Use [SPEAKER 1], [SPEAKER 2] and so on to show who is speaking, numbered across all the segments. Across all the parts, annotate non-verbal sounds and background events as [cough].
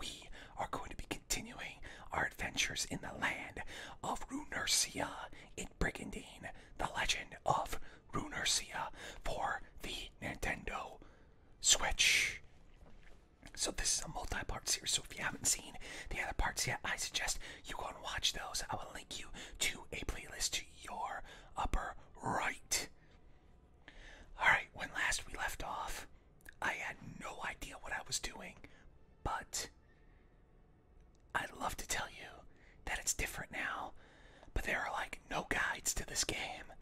[SPEAKER 1] we are going to be continuing our adventures in the land of Runersia in Brigandine, the legend of Runersia for the Nintendo Switch. So this is a multi-part series, so if you haven't seen the other parts yet, I suggest you go and watch those. I will link you to a playlist to your upper right. Alright, when last we left off, I had no idea what I was doing, but I'd love to tell you that it's different now, but there are like no guides to this game,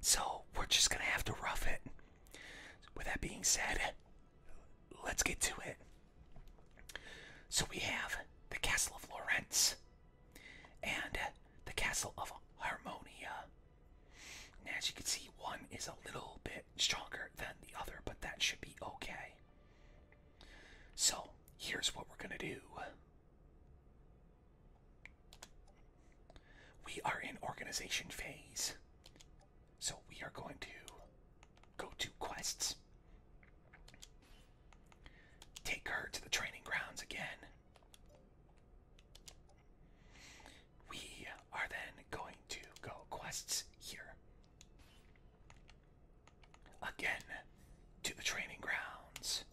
[SPEAKER 1] so we're just gonna have to rough it. With that being said, let's get to it. So we have the Castle of Lorentz and the Castle of Harmonia as you can see, one is a little bit stronger than the other, but that should be okay. So, here's what we're going to do. We are in organization phase. So, we are going to go to quests. Take her to the training grounds again. We are then going to go quests here. Again, to the training grounds.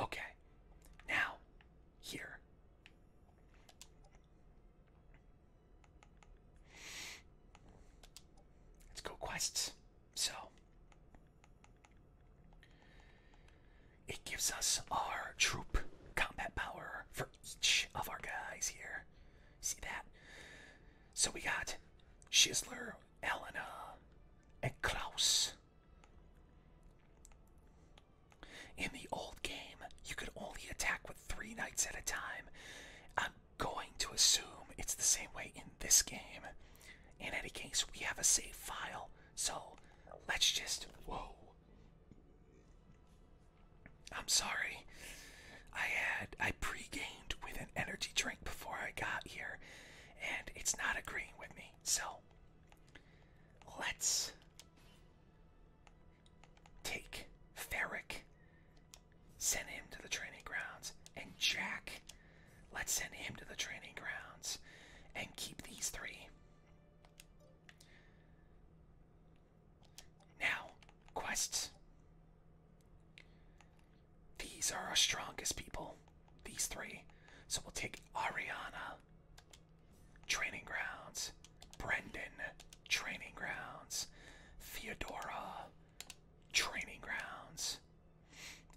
[SPEAKER 1] Okay, now, here. Let's go quests. So, it gives us our troop combat power for each of our guys here. See that? So we got Schisler, Elena, and Klaus. In the old game, you could only attack with three knights at a time. I'm going to assume it's the same way in this game. In any case, we have a save file, so let's just. Whoa. I'm sorry. I had I pre-gamed with an energy drink before I got here and it's not agreeing with me. So let's take Ferric, send him to the training grounds, and Jack, let's send him to the training grounds and keep these three. Now, quests. These are our strongest people, these three. So we'll take Ariana, Training Grounds, Brendan, Training Grounds, Theodora, Training Grounds,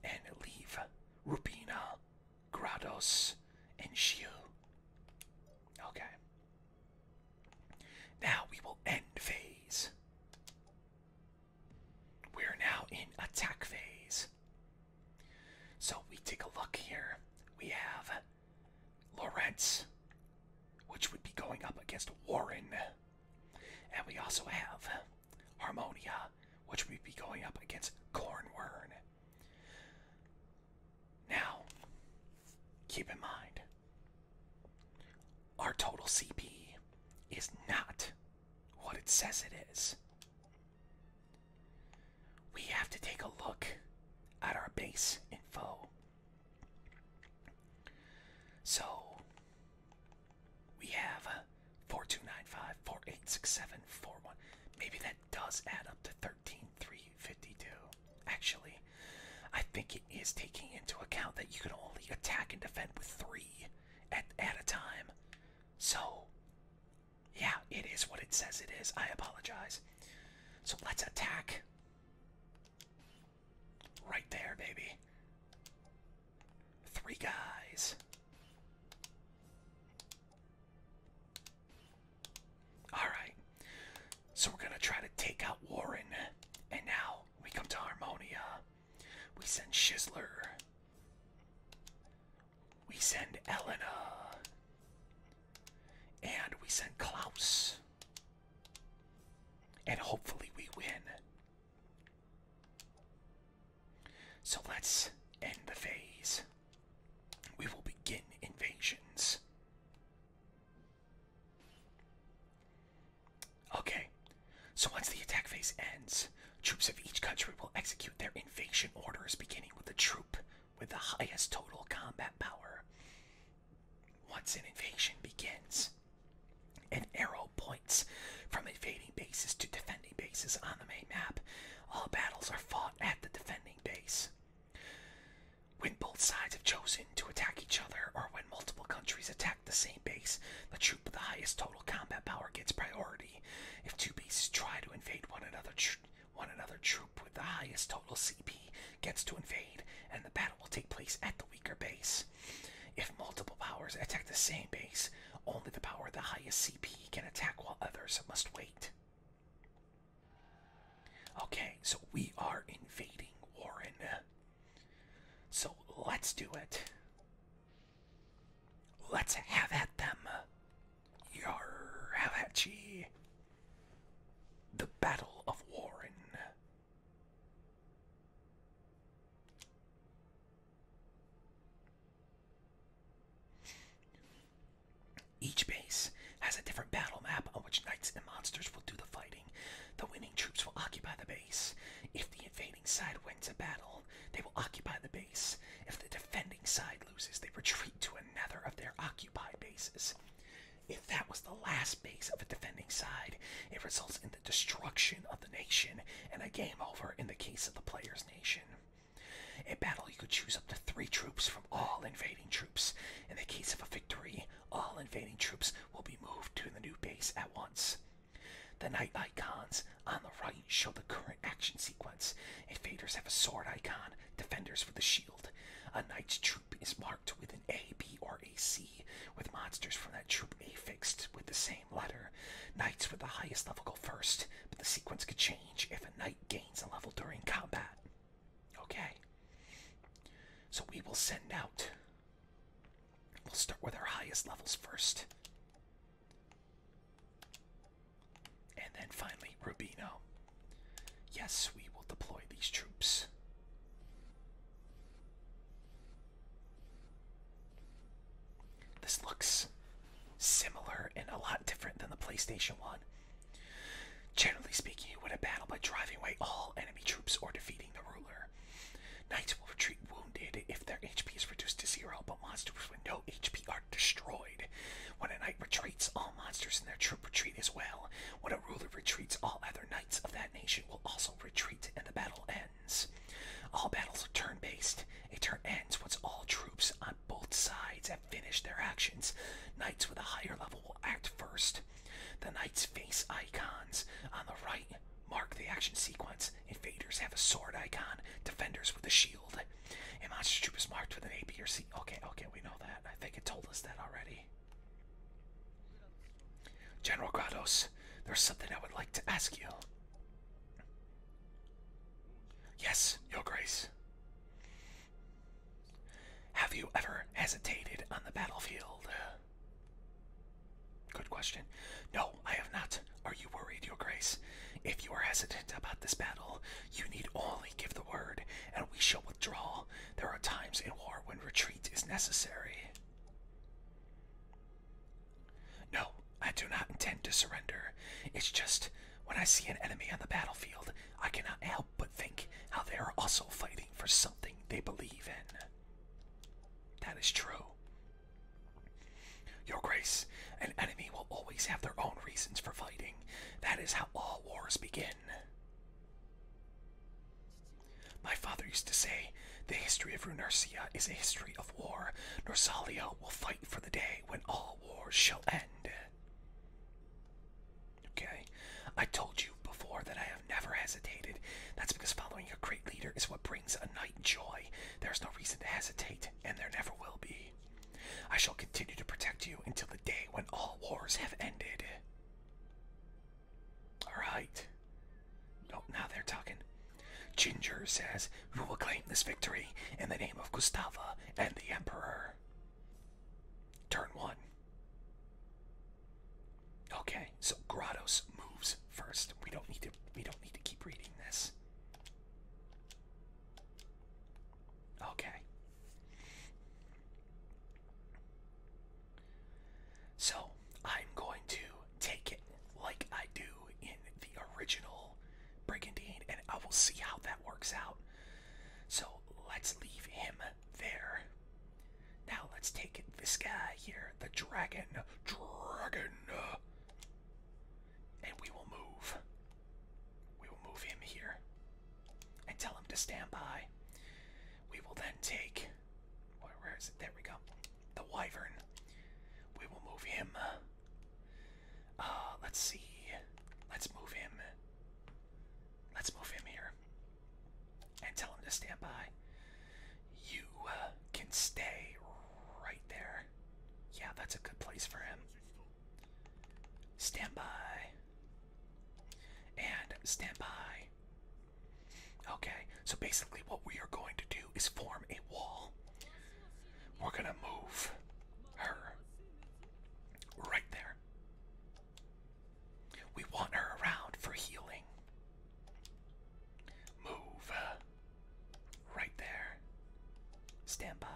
[SPEAKER 1] and leave Rubina Grados, and Shiu. Okay. Now we will end phase. We are now in attack phase. So we take a look here. We have Lorenz, which would be going up against Warren. And we also have Harmonia, which would be going up against Cornwern. Now, keep in mind, our total CP is not what it says it is. We have to take a look at our base info. So, we have uh, 4295, 4867, 41. Maybe that does add up to thirty. 13352. Actually, I think it is taking into account that you can only attack and defend with three at, at a time. So, yeah, it is what it says it is. I apologize. So let's attack. Right there, baby. Three guys. Alright. So we're gonna try to take out Warren. And now we come to Harmonia. We send Shizzler. We send Elena. And we send Klaus. And hopefully we win. So let's end the phase we will begin invasions. Okay, so once the attack phase ends, troops of each country will execute their invasion orders, beginning with the troop with the highest total combat power. Once an invasion begins, an arrow points from invading bases to defending bases on the main map. All battles are fought at the defending base. When both sides have chosen to attack each other, or when multiple countries attack the same base, the troop with the highest total combat power gets priority. If two bases try to invade one another, one another troop with the highest total CP gets to invade, and the battle will take place at the weaker base. If multiple powers attack the same base, only the power with the highest CP can attack while others must wait. Okay, so we are invading Warren. So let's do it. Let's have at them. Yar, have The Battle of Warren. Each base has a different battle map on which knights and monsters will do the fighting. The winning troops will occupy the base. If the invading side wins a battle, they will occupy the base. If the defending side loses, they retreat to another of their occupied bases. If that was the last base of a defending side, it results in the destruction of the nation and a game over in the case of the player's nation. In battle, you could choose up to three troops from all invading troops. In the case of a victory, all invading troops will be moved to the new base at once. The knight icons on the right show the current action sequence. Invaders have a sword icon, defenders with a shield. A knight's troop is marked with an A, B, or a C, with monsters from that troop affixed with the same letter. Knights with the highest level go first, but the sequence could change if a knight a level during combat. Okay. So we will send out. We'll start with our highest levels first. And then finally, Rubino. Yes, we will deploy these troops. This looks similar and a lot different than the PlayStation 1. Generally speaking, you win a battle by driving away all enemy troops or defeating the ruler. Knights will retreat wounded if their HP is reduced to zero, but monsters with no HP are destroyed. When a knight retreats, all monsters in their troop retreat as well. When a ruler retreats, all other knights of that nation will also retreat, and the battle ends. All battles are turn-based. A turn ends once all troops on both sides have finished their actions, knights with a higher level will act first. The knight's face icons on the right mark the action sequence. Invaders have a sword icon, defenders with a shield. A monster troop is marked with an A, B, or C. Okay, okay, we know that. I think it told us that already. General Grados, there's something I would like to ask you. Yes, Your Grace. Have you ever hesitated on the battlefield? Good question. No, I have not. Are you worried, Your Grace? If you are hesitant about this battle, you need only give the word, and we shall withdraw. There are times in war when retreat is necessary. No, I do not intend to surrender. It's just when I see an enemy on the battlefield, I cannot help but think how they are also fighting for something they believe in. That is true. Your Grace, an enemy will always have their own reasons for fighting. That is how all wars begin. My father used to say, the history of Runercia is a history of war. Norsalia will fight for the day when all wars shall end. Okay? I told you before that I have never hesitated. That's because following a great leader is what brings a knight joy. There's no reason to hesitate, and there never will be. I shall continue to protect you until the day when all wars have ended. Alright. Oh, now they're talking. Ginger says, We will claim this victory in the name of Gustava and the Emperor. Turn one. Okay, so Grados moves first. We don't need to we don't need to keep reading this. Okay. So I'm going to take it like I do in the original Brigandine, and I will see how that works out. So let's leave him there. Now let's take this guy here, the dragon. Dragon. And we will move. We will move him here and tell him to stand by. We will then take. Where is it? There we go. The wyvern. We will move him uh, let's see. Let's move him. Let's move him here. And tell him to stand by. You uh, can stay right there. Yeah, that's a good place for him. Stand by. And stand by. Okay, so basically what we are going to do is form a wall. We're gonna move her Right there. We want her around for healing. Move. Right there. Stand by.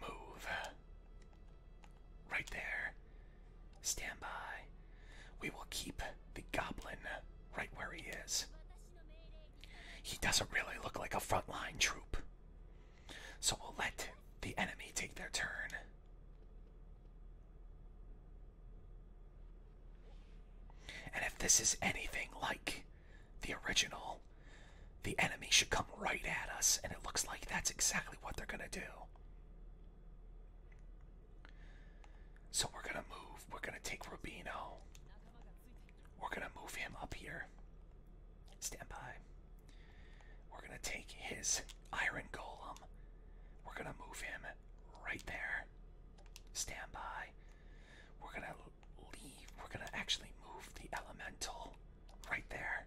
[SPEAKER 1] Move. Right there. Stand by. We will keep the goblin right where he is. He doesn't really look like a frontline troop. So we'll let the enemy take their turn. And if this is anything like the original, the enemy should come right at us, and it looks like that's exactly what they're going to do. So we're going to move, we're going to take Rubino. We're going to move him up here. Stand by. We're going to take his iron golem. We're going to move him right there. Stand by. We're going to leave. We're going to actually move the elemental right there.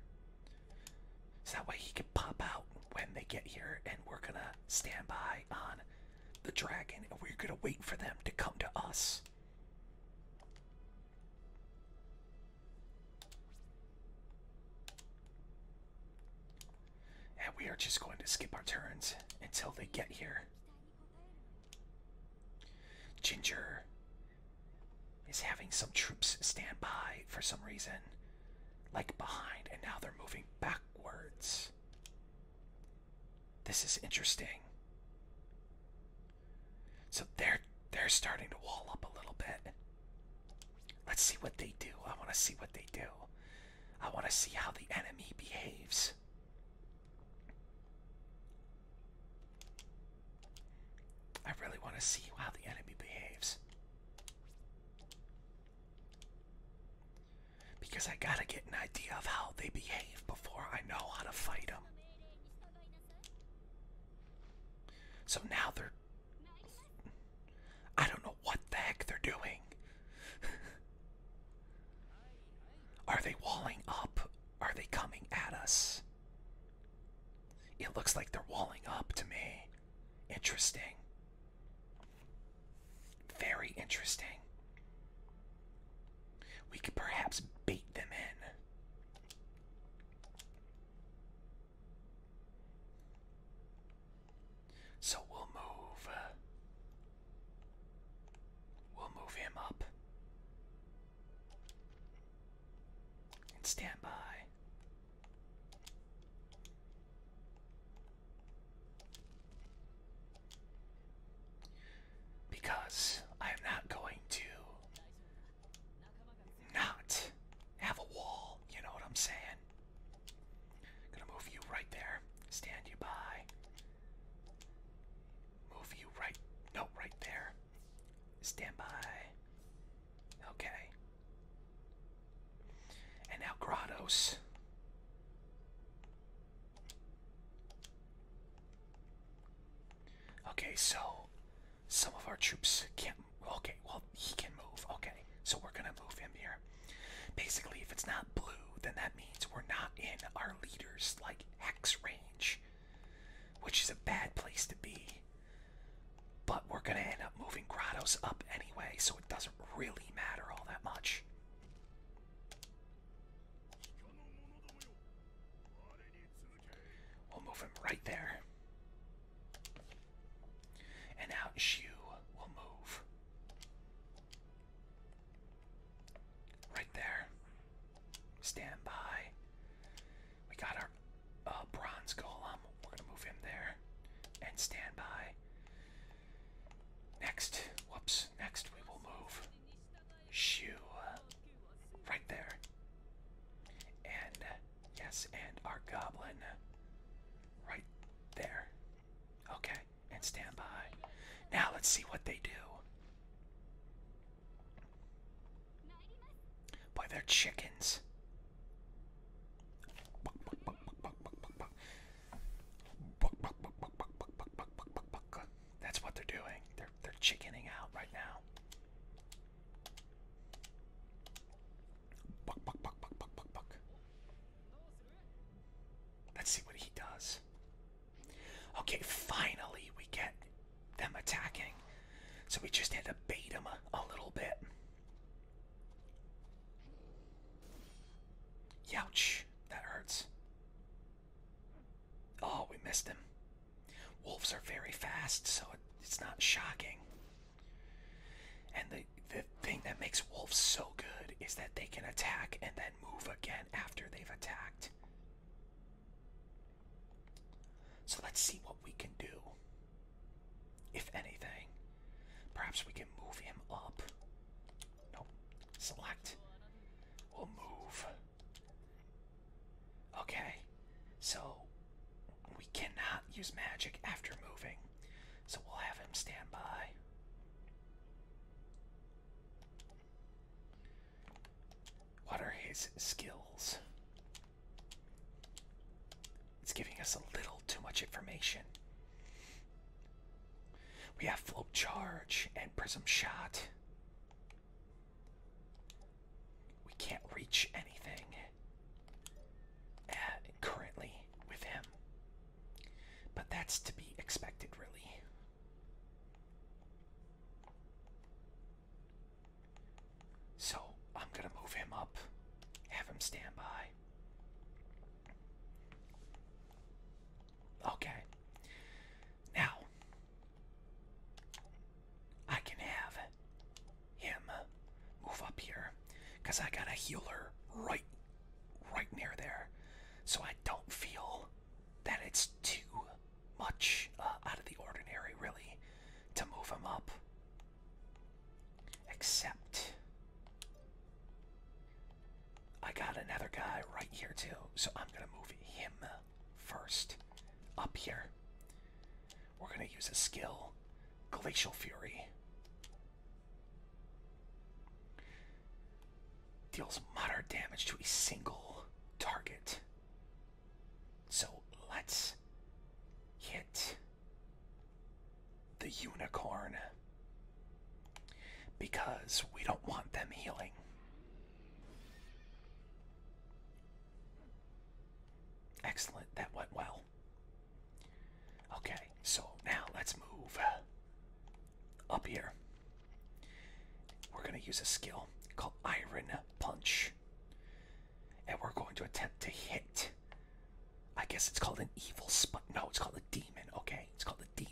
[SPEAKER 1] So that way he can pop out when they get here and we're going to stand by on the dragon and we're going to wait for them to come to us. And we are just going to skip our turns until they get here. Ginger is having some troops stand by for some reason, like behind, and now they're moving backwards. This is interesting. So they're they're starting to wall up a little bit. Let's see what they do. I want to see what they do. I want to see how the enemy behaves. I really want to see how the enemy behaves. Because I gotta get an idea of how they behave before I know how to fight them. So now they're. I don't know what the heck they're doing. [laughs] Are they walling up? Are they coming at us? It looks like they're walling up to me. Interesting. Very interesting. We could perhaps bait them in. So we'll move. Uh, we'll move him up. And stand by. Because I am not going to not have a wall. You know what I'm saying? Gonna move you right there. Stand you by. Move you right. No, right there. Stand by. Okay. And now Grottos. Okay, so some of our troops can't. Okay, well, he can move. Okay, so we're gonna move him here. Basically, if it's not blue, then that means we're not in our leader's like hex range, which is a bad place to be. But we're gonna end up moving Grottos up anyway, so it doesn't really matter all that much. We'll move him right there. And now Shu will move. Right there. Stand by. We got our uh, bronze golem. We're going to move him there. And stand by. Next. Whoops. Next we will move shoe right there. And yes, and our goblin right there. Okay, and stand by. Now let's see what they do. Boy, they're chickens. That's what they're doing. They're they're chickening out right now. Buck, buck, buck, buck, buck, buck, buck. Let's see what he does. Okay, finally we get them attacking. So we just had to bait him a, a little bit. Youch, that hurts. Oh, we missed him. Wolves are very fast, so it's not shocking. And the the thing that makes wolves so good is that they can attack and then move again after they've attacked. So let's see what we can do. If anything, perhaps we can move him up. Nope. Select. We'll move Okay, so we cannot use magic after moving, so we'll have him stand by. What are his skills? It's giving us a little too much information. We have float charge and prism shot. We can't reach anything uh, currently with him. But that's to be expected, really. So I'm going to move him up, have him stand Okay. Now, I can have him move up here because I got a healer right right near there. So I don't feel that it's too much uh, out of the ordinary really to move him up. Except I got another guy right here too, so I'm gonna move him first. Up here, we're going to use a skill Glacial Fury. Deals moderate damage to a single target. So let's hit the unicorn because we don't want them healing. Excellent, that went well. Okay, so now let's move up here. We're going to use a skill called Iron Punch. And we're going to attempt to hit. I guess it's called an evil spot. No, it's called a demon. Okay, it's called a demon.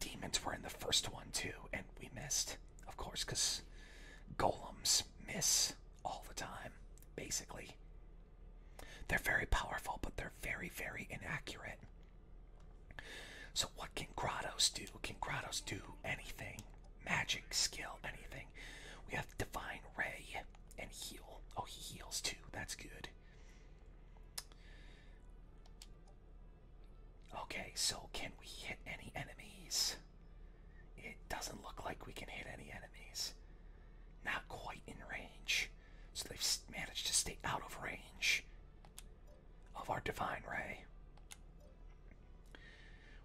[SPEAKER 1] Demons were in the first one too, and we missed of course, because golems miss all the time, basically. They're very powerful, but they're very, very inaccurate. So, what can Grottos do? Can Grottos do anything? Magic, skill, anything. We have Divine Ray and Heal. Oh, he heals too. That's good. Okay, so can we hit any enemies? It doesn't look like we can hit any enemies. Not quite in range. So they've managed to stay out of range of our divine ray.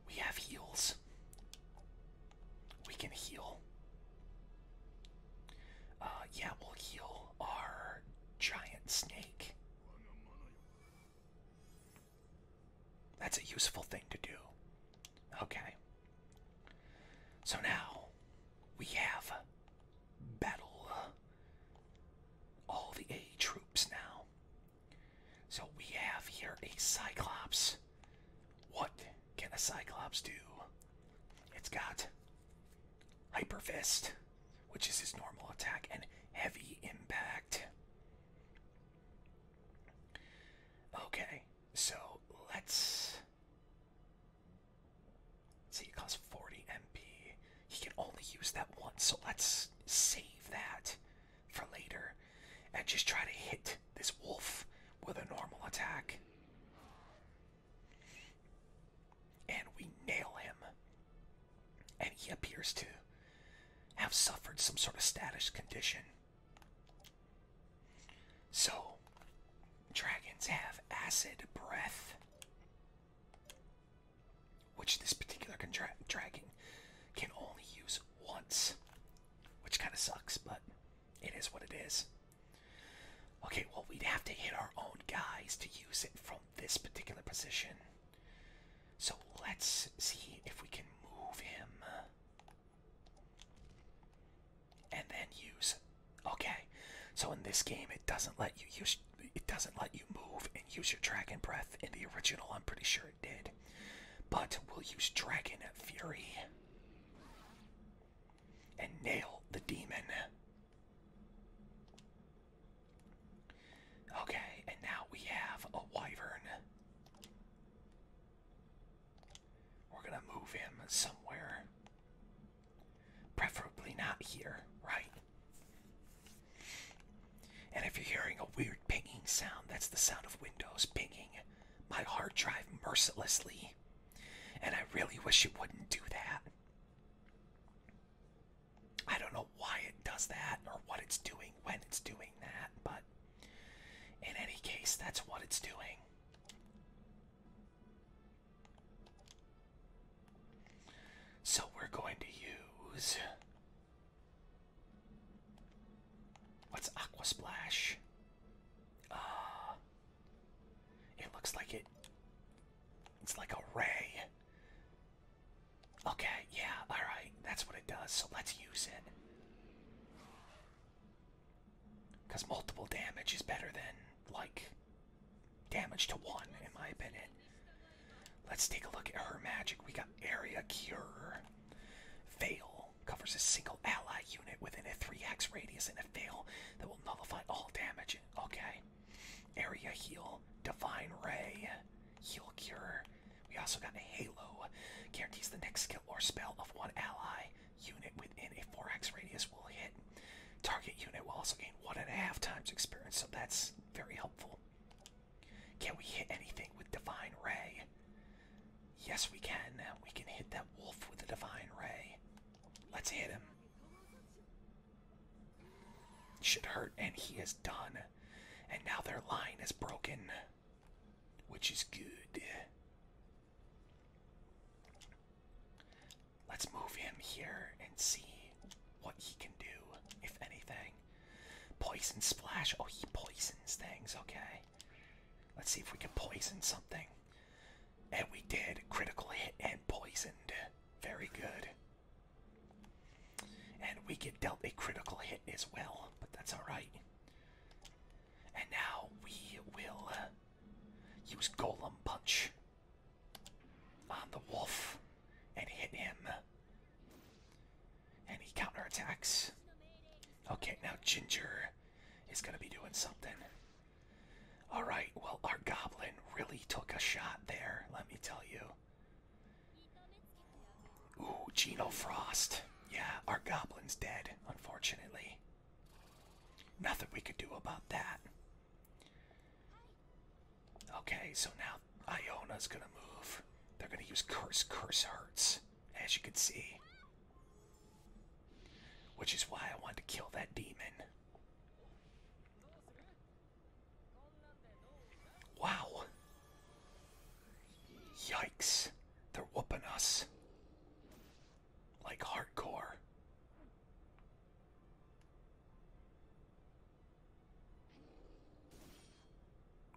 [SPEAKER 1] We have heals. We can heal. Uh, yeah, we'll heal our giant snake. That's a useful thing to do. Okay. So now we have battle all the A troops now. So we have here a Cyclops. What can a Cyclops do? It's got Hyper Fist, which is his normal attack, and Heavy Impact. Okay, so let's see. It costs 40 MP. He can only use that once, so let's save that for later and just try to hit this wolf with a normal attack. And we nail him and he appears to have suffered some sort of status condition. So, dragons have acid breath, which this particular dragon can only use once, which kind of sucks, but it is what it is. Okay, well, we'd have to hit our own guys to use it from this particular position. So let's see if we can move him. And then use okay. So in this game it doesn't let you use it doesn't let you move and use your dragon breath. In the original I'm pretty sure it did. But we'll use Dragon Fury and nail the demon. Okay, and now we have a wyvern. We're gonna move him somewhere. Preferably not here, right? And if you're hearing a weird pinging sound, that's the sound of Windows pinging my hard drive mercilessly. And I really wish it wouldn't do that. I don't know why it does that or what it's doing when it's doing that, but in any case, that's what it's doing. So we're going to use. What's Aqua Splash? Uh, it looks like it. It's like a ray. Okay, yeah, alright, that's what it does, so let's use it. Because multiple damage is better than, like, damage to one, in my opinion. Let's take a look at her magic. We got Area Cure. Veil covers a single ally unit within a 3x radius and a veil that will nullify all damage. Okay. Area Heal. Divine Ray. Heal Cure. We also got a Halo. Guarantees the next skill or spell of one ally unit within a 4x radius will hit. Target unit will also gain one and a half times experience, so that's very helpful. Can we hit anything with Divine Ray? Yes, we can. We can hit that wolf with a Divine Ray. Let's hit him. Should hurt, and he is done. And now their line is broken which is good. Let's move him here and see what he can do, if anything. Poison splash. Oh, he poisons things. Okay. Let's see if we can poison something. And we did. Critical hit and poisoned. Very good. And we get dealt a critical hit as well, but that's alright. And now we will uh, use Golem Punch on the wolf and hit him. And he counterattacks. Okay, now Ginger is going to be doing something. Alright, well, our goblin really took a shot there, let me tell you. Ooh, Geno Frost. Yeah, our goblin's dead, unfortunately. Nothing we could do about that. Okay, so now Iona's gonna move. They're gonna use Curse Curse Hurts, as you can see. Which is why I wanted to kill that demon. Wow. Yikes. They're whooping us. Like hardcore.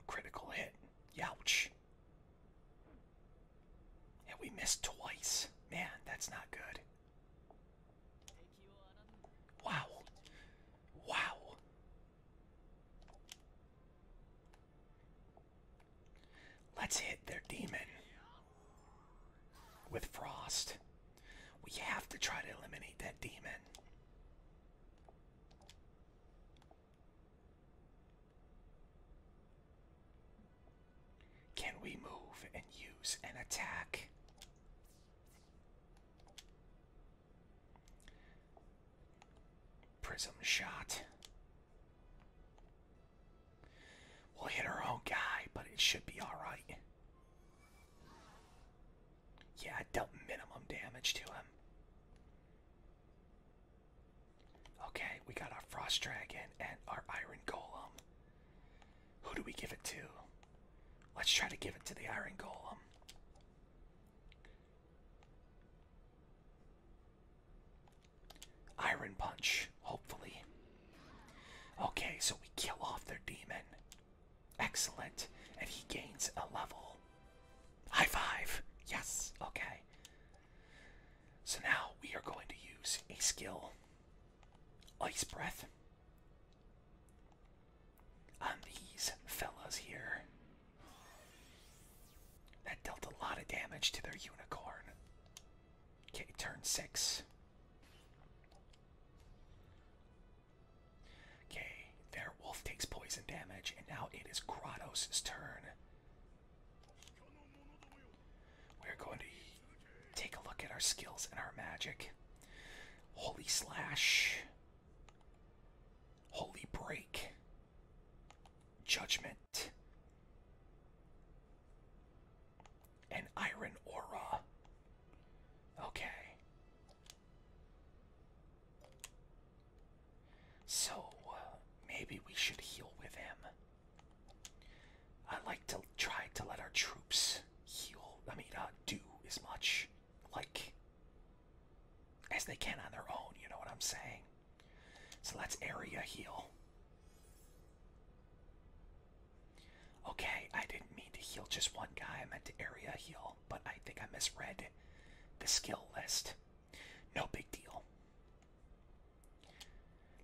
[SPEAKER 1] Critical hit. Youch. And we missed twice. Man, that's not good. Wow. Wow. Let's hit their demon with frost. We have to try to eliminate that demon. Can we move and use an attack? Prism shot. We'll hit our own guy, but it should be alright. Yeah, I dealt minimum damage to him. Okay, we got our Frost Dragon and our Iron Golem. Who do we give it to? Let's try to give it to the Iron Golem. Iron Punch, hopefully. Okay, so we kill off their demon. Excellent. And he gains a level. High five! Yes, okay. So now we are going to use a skill Ice Breath on these fellas here. That dealt a lot of damage to their unicorn. Okay, turn six. Okay, their wolf takes poison damage, and now it is Grottos' turn. We're going to take a look at our skills and our magic. Holy Slash Holy break. Judgment. and iron aura. Okay. So, uh, maybe we should heal with him. I like to try to let our troops heal. I mean, uh, do as much. Like, as they can on their own, you know what I'm saying? So let's area heal. Okay, I didn't mean to heal just one guy. I meant to area heal, but I think I misread the skill list. No big deal.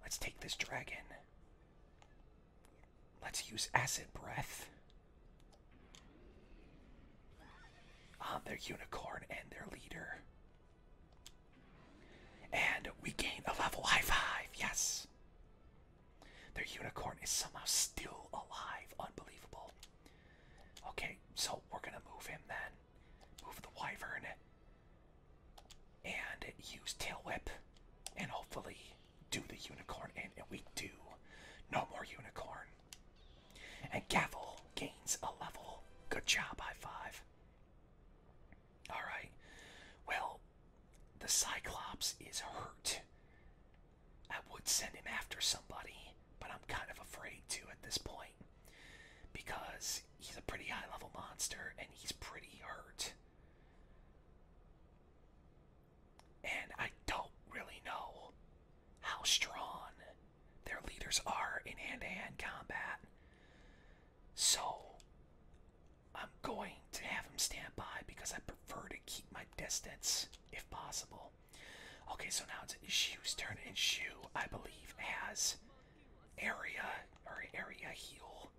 [SPEAKER 1] Let's take this dragon. Let's use acid breath on ah, their unicorn and their leader. And we gain a level high five, yes! Their unicorn is somehow still alive, unbelievable. Okay, so we're gonna move him then. Move the wyvern. And use tail whip. And hopefully do the unicorn in, and we do. No more unicorn. And Gavel gains a level. Good job, high five. Alright. Well, the Cyclops is hurt. I would send him after somebody, but I'm kind of afraid to at this point. Because he's a pretty high level monster and he's pretty hurt. And I don't really know how strong their leaders are in hand to hand combat. So, I'm going to have him stand by because I prefer to keep my distance if possible. Okay, so now it's Shu's turn, and Shu, I believe, has area or area heal.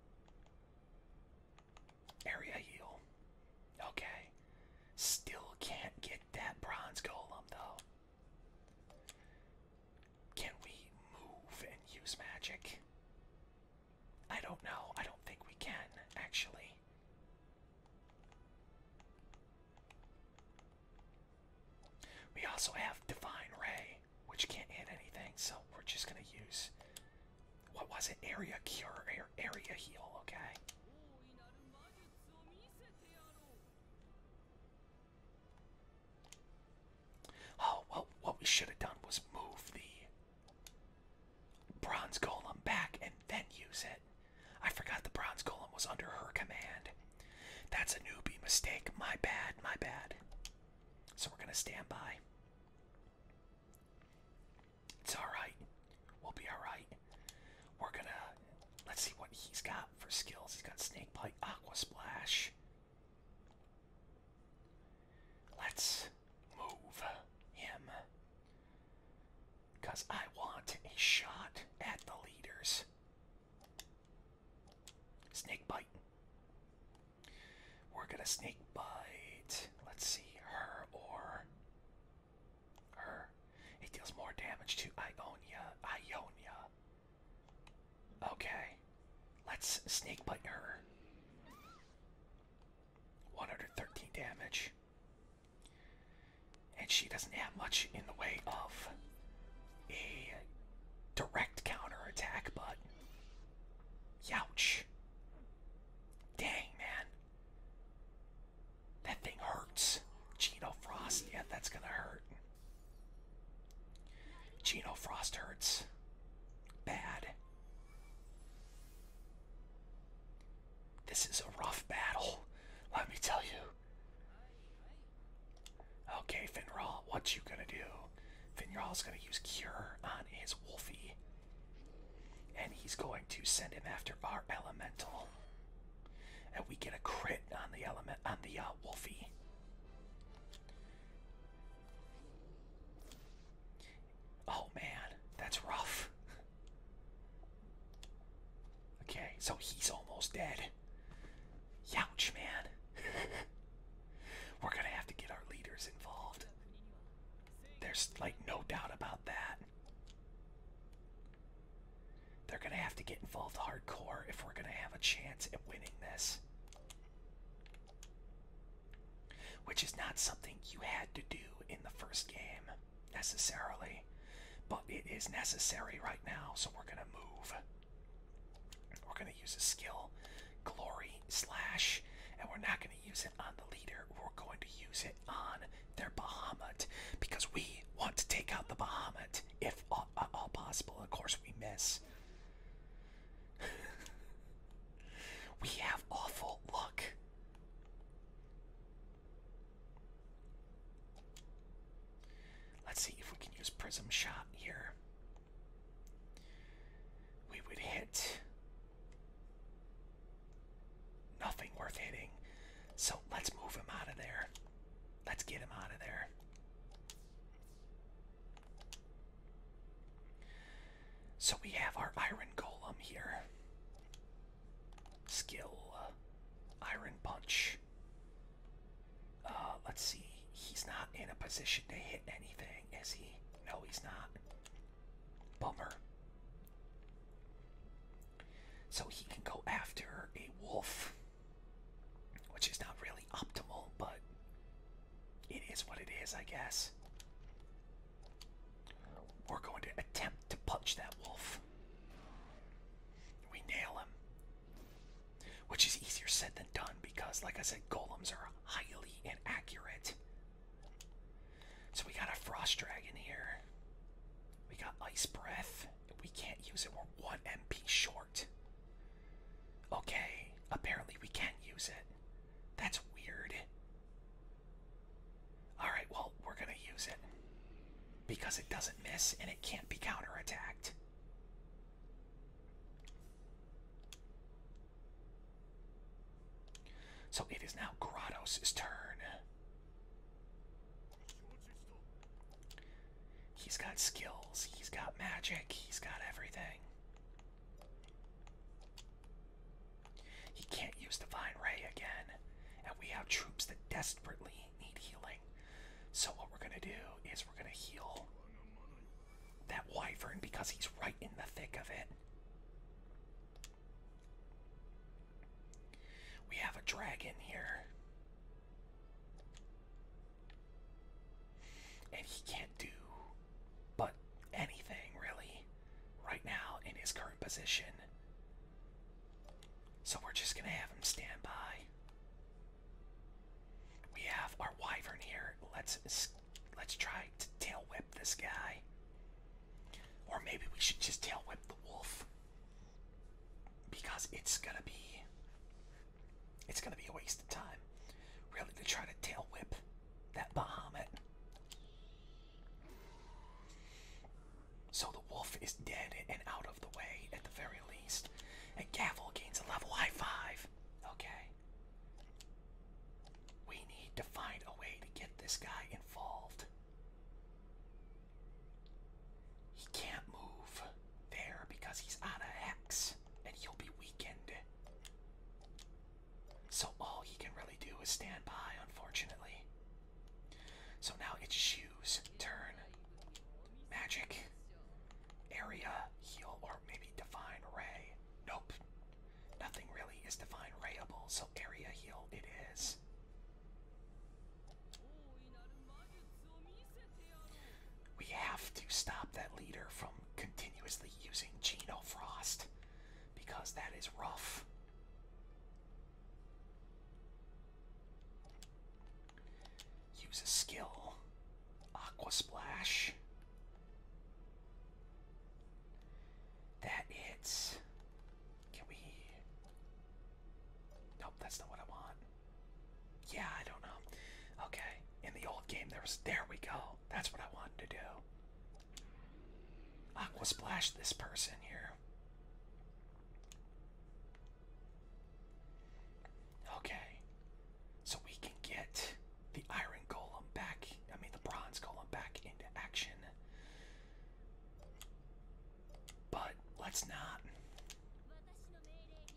[SPEAKER 1] Area heal. Okay. Still can't get that bronze golem though. Can we move and use magic? I don't know. I don't think we can, actually. We also have Divine Ray, which can't hit anything, so we're just gonna use. What was it? Area Cure, area Heal, okay? Oh, well, what we should have done was move the bronze golem back and then use it. I forgot the bronze golem was under her command. That's a newbie mistake. My bad, my bad. So we're going to stand by. It's alright. We'll be alright. We're going to Let's see what he's got for skills. He's got Snake Bite, Aqua Splash. Let's move him. Because I want a shot at the leaders. Snake Bite. We're going to Snake Bite. Let's see, her or her. It deals more damage to Ionia. Ionia. Okay. Let's sneak bite her. 113 damage. And she doesn't have much in the way of a direct counter attack, but. Youch. Dang, man. That thing hurts. Gino Frost, yeah, that's gonna hurt. Gino Frost hurts. Bad. This is a rough battle, let me tell you. Okay, Finral, what you gonna do? Finral's gonna use Cure on his Wolfie. And he's going to send him after our Elemental and we get a crit on the element on the uh, Wolfie. Oh man, that's rough. Okay, so he's almost dead. Youch, man. [laughs] We're gonna have to get our leaders involved. There's like no doubt about that. They're going to have to get involved hardcore if we're going to have a chance at winning this. Which is not something you had to do in the first game, necessarily. But it is necessary right now, so we're going to move. We're going to use a skill, Glory Slash, and we're not going to use it on the leader. We're going to use it on they're Bahamut because we want to take out the Bahamut if all, all possible. Of course, we miss. [laughs] we have awful luck. Let's see if we can use Prism Shot here. We would hit nothing worth hitting. So let's move him out of there. Let's get him out of there. So we have our Iron Golem here. Skill. Uh, iron Punch. Uh, let's see. He's not in a position to hit anything, is he? No, he's not. Bummer. So he can go after a wolf, which is not really optimal, but it is what it is, I guess. We're going to attempt to punch that wolf. We nail him. Which is easier said than done because, like I said, golems are highly inaccurate. So we got a frost dragon here. We got ice breath we can't use it. We're one MP short. Okay, apparently we can't use it. That's weird. Alright, well, we're gonna use it. Because it doesn't miss and it can't be counterattacked. So it is now Grottos' turn. He's got skills, he's got magic, he's got everything. He can't use Divine Ray again, and we have troops that desperately need healing. So, what we're gonna do is we're gonna heal that Wyvern because he's right in the thick of it. We have a dragon here. And he can't do but anything really right now in his current position. So we're just going to have him stand by. We have our wyvern here. Let's let's try to tail whip this guy. Or maybe we should just tail whip the wolf because it's gonna be it's gonna be a waste of time really to try to tail whip that Bahamut. So the wolf is dead and out of the way at the very least. And Gavel gains a level high five. Okay. We need to find a way to get this guy involved. He can't move there because he's out of hex and he'll be weakened. So all he can really do is stand by, unfortunately. So now it's shoes. Turn. Magic. Area. Heal. Or maybe define ray. Nope. Nothing really is define rayable, so area heal it is. We have to stop that leader from continuously using Gino Frost because that is rough. Use a skill. Aqua Splash. That hits. Can we? Nope, that's not what I want. Yeah, I don't know. Okay, in the old game, there was. There we go. That's what I wanted to do. Aqua splash this person here. Okay, so we can get the iron golem back. I mean, the bronze golem back into action. But let's not.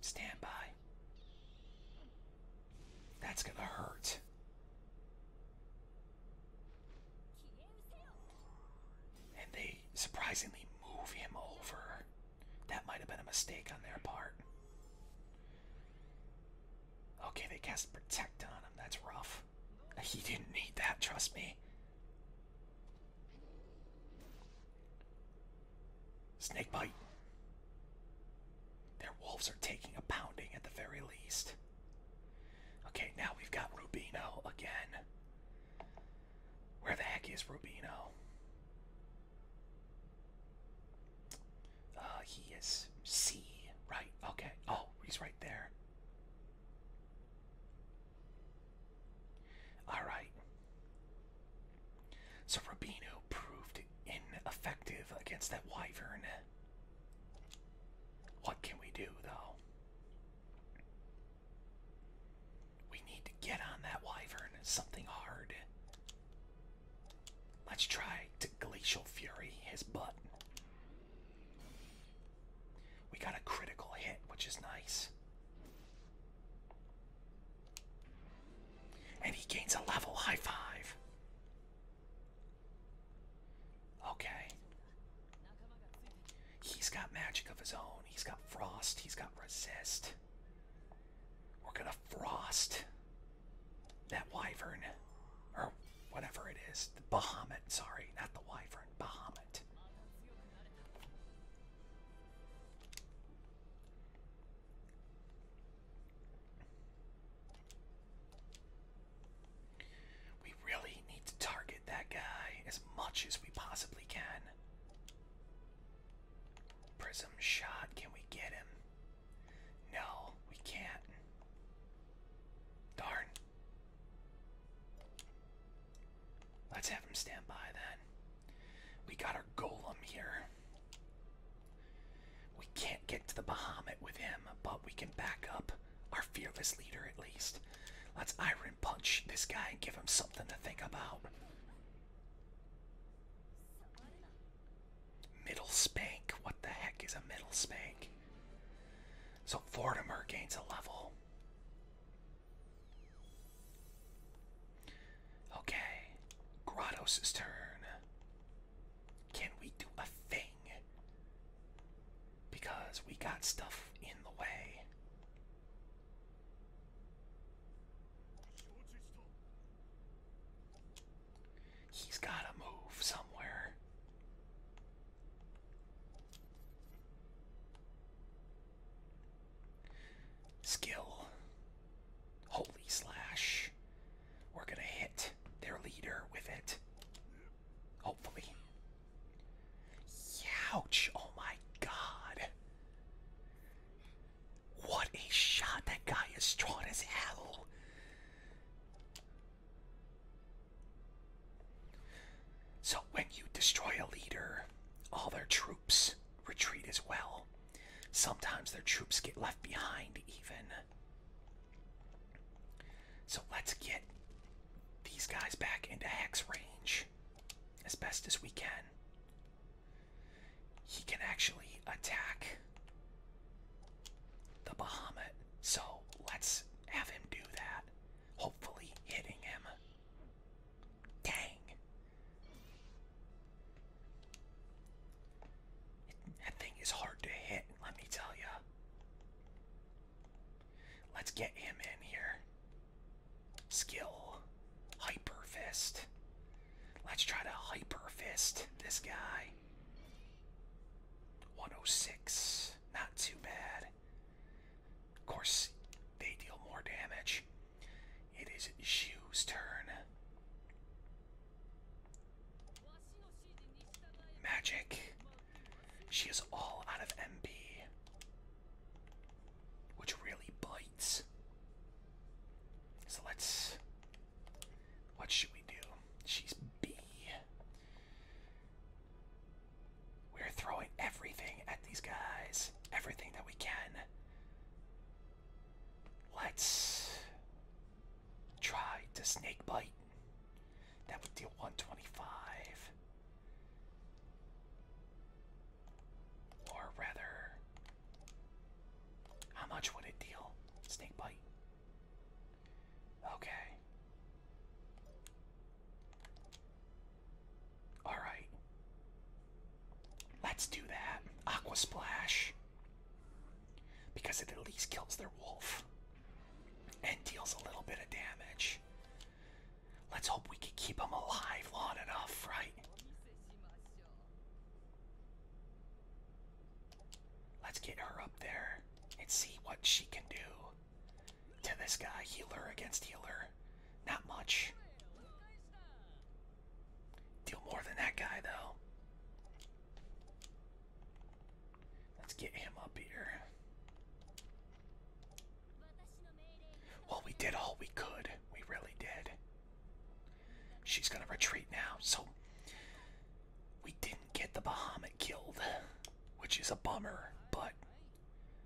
[SPEAKER 1] Stand by. That's gonna hurt. And they surprisingly move him over. That might have been a mistake on their part. Okay, they cast Protect on him. That's rough. He didn't need that, trust me. Snake bite. Their wolves are taking a pounding at the very least. Okay, now we've got Rubino again. Where the heck is Rubino? Uh, he is C, right? Okay. Oh, he's right there. Alright. So Rabino proved ineffective against that wyvern. What can we do though? We need to get on that wyvern, something hard. Let's try to Glacial Fury his butt. We got a critical hit, which is nice. And he gains a level high five. Okay. He's got magic of his own. He's got frost. He's got resist. We're gonna frost that wyvern. Or whatever it is. The Bahamut, sorry, not the wyvern. Bahamut moment. We really need to target that guy as much as we possibly can. Prism shot, can we get him? No, we can't. Darn. Let's have him stand by then. We got our golem here. We can't get to the Bahamut with him, but we can back up our fearless leader at least. Let's iron punch this guy and give him something to think about. Middle spank. What the heck is a middle spank? So Fortimer gains a level. Okay, Grottos' turn. Can we do a thing? Because we got stuff in the way. He's gotta move somewhere. Skill. Holy slash. We're going to hit their leader with it. Hopefully. Ouch! Oh my god. What a shot. That guy is strong as hell. So when you destroy a leader, all their troops retreat as well. Sometimes their troops get left behind even. So let's get these guys back into hex range as best as we can. He can actually attack the Bahamut. So let's have him do that. Hopefully hitting him. Dang. That thing is hard to hit, let me tell you. Let's get him in here. Skill. Hyper fist. Let's try to hyper fist this guy. 106. Not too bad. Of course, they deal more damage. It is Zhu's turn. Magic. She is all out of MP, which really bites. So let's. What should we do? She's B. We're throwing everything at these guys, everything that we can. Let's try to snake bite. That would deal 125. Or rather, how much would it deal? Snake bite. Okay. Alright. Let's do that. Aqua Splash. Because it at least kills their wolf. And deals a little bit of damage. Let's hope we can keep them alive long enough, right? Let's get her up there and see what she can do to this guy. Healer against healer. Not much. Deal more than that guy, though. Let's get him up here. Well, we did all we could. We really did. She's gonna retreat now. So, we didn't get the Bahamut killed, which is a bummer, but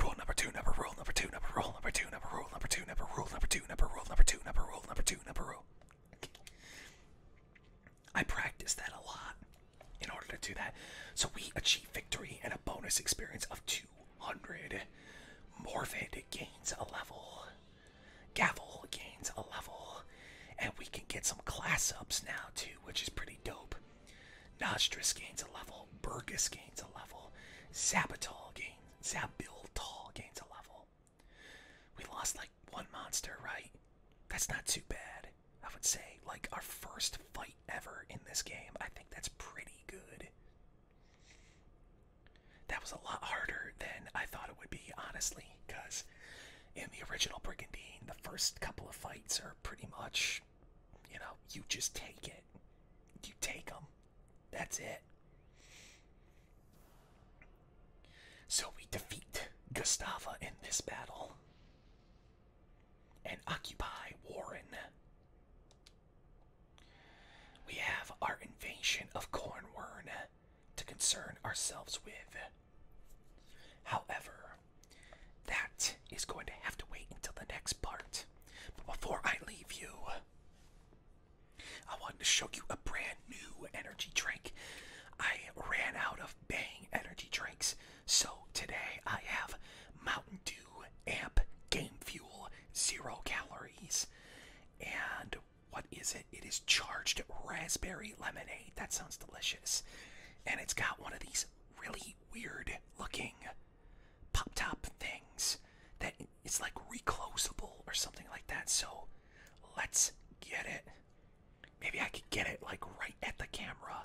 [SPEAKER 1] Rule number two, number rule, number two, number rule, number two, number rule, number two, number rule, number two, number rule, number two, number rule, number two, number rule. I practice that a lot in order to do that. So we achieve victory and a bonus experience of 200. Morvid gains a level. Gavel gains a level. And we can get some class ups now too, which is pretty dope. Nostris gains a level. Burgess gains a level. Sabatol gains See how Bill Tall gains a level. We lost like one monster, right? That's not too bad. I would say, like, our first fight ever in this game. I think that's pretty good. That was a lot harder than I thought it would be, honestly, because in the original Brigandine, the first couple of fights are pretty much, you know, you just take it. You take them. That's it. So we defeat Gustava in this battle and occupy Warren. We have our invasion of Cornwern to concern ourselves with. However, that is going to have to wait until the next part. But before I leave you, I wanted to show you a brand new energy drink. I ran out of Bang energy drinks, so today I have Mountain Dew Amp Game Fuel, zero calories. And what is it? It is charged raspberry lemonade. That sounds delicious. And it's got one of these really weird looking pop top things that it's like reclosable or something like that. So let's get it. Maybe I could get it like right at the camera.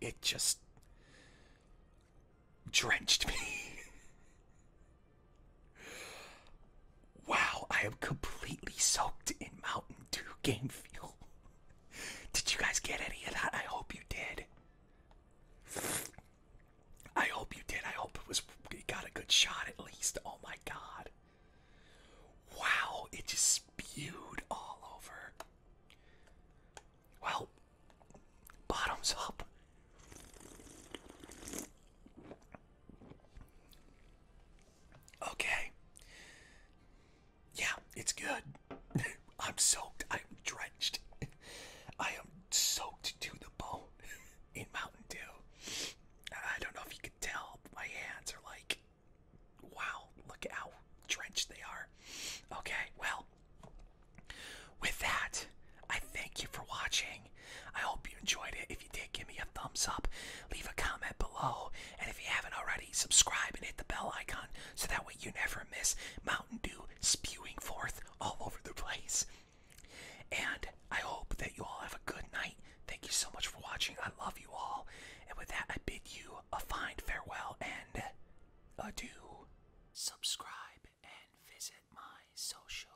[SPEAKER 1] It just drenched me. [laughs] wow, I am completely soaked in Mountain Dew game fuel did you guys get any of that? I hope you did. I hope you did. I hope it was it got a good shot at least. Oh my god. Wow, it just spewed all over. Well, bottoms up. Okay yeah, it's good. [laughs] I'm soaked. I'm drenched. [laughs] I am soaked to the bone [laughs] in Mountain Dew. I don't know if you can tell, my hands are like, wow, look at how drenched they are. Okay, well, with that, I thank you for watching. I hope you enjoyed it. If you did, give me a thumbs up leave a comment below, and if you haven't already, subscribe and hit the bell icon so that way you never miss Mountain Dew spewing forth all over the place. And I hope that you all have a good night. Thank you so much for watching. I love you all. And with that, I bid you a fine farewell and adieu. Subscribe and visit my social.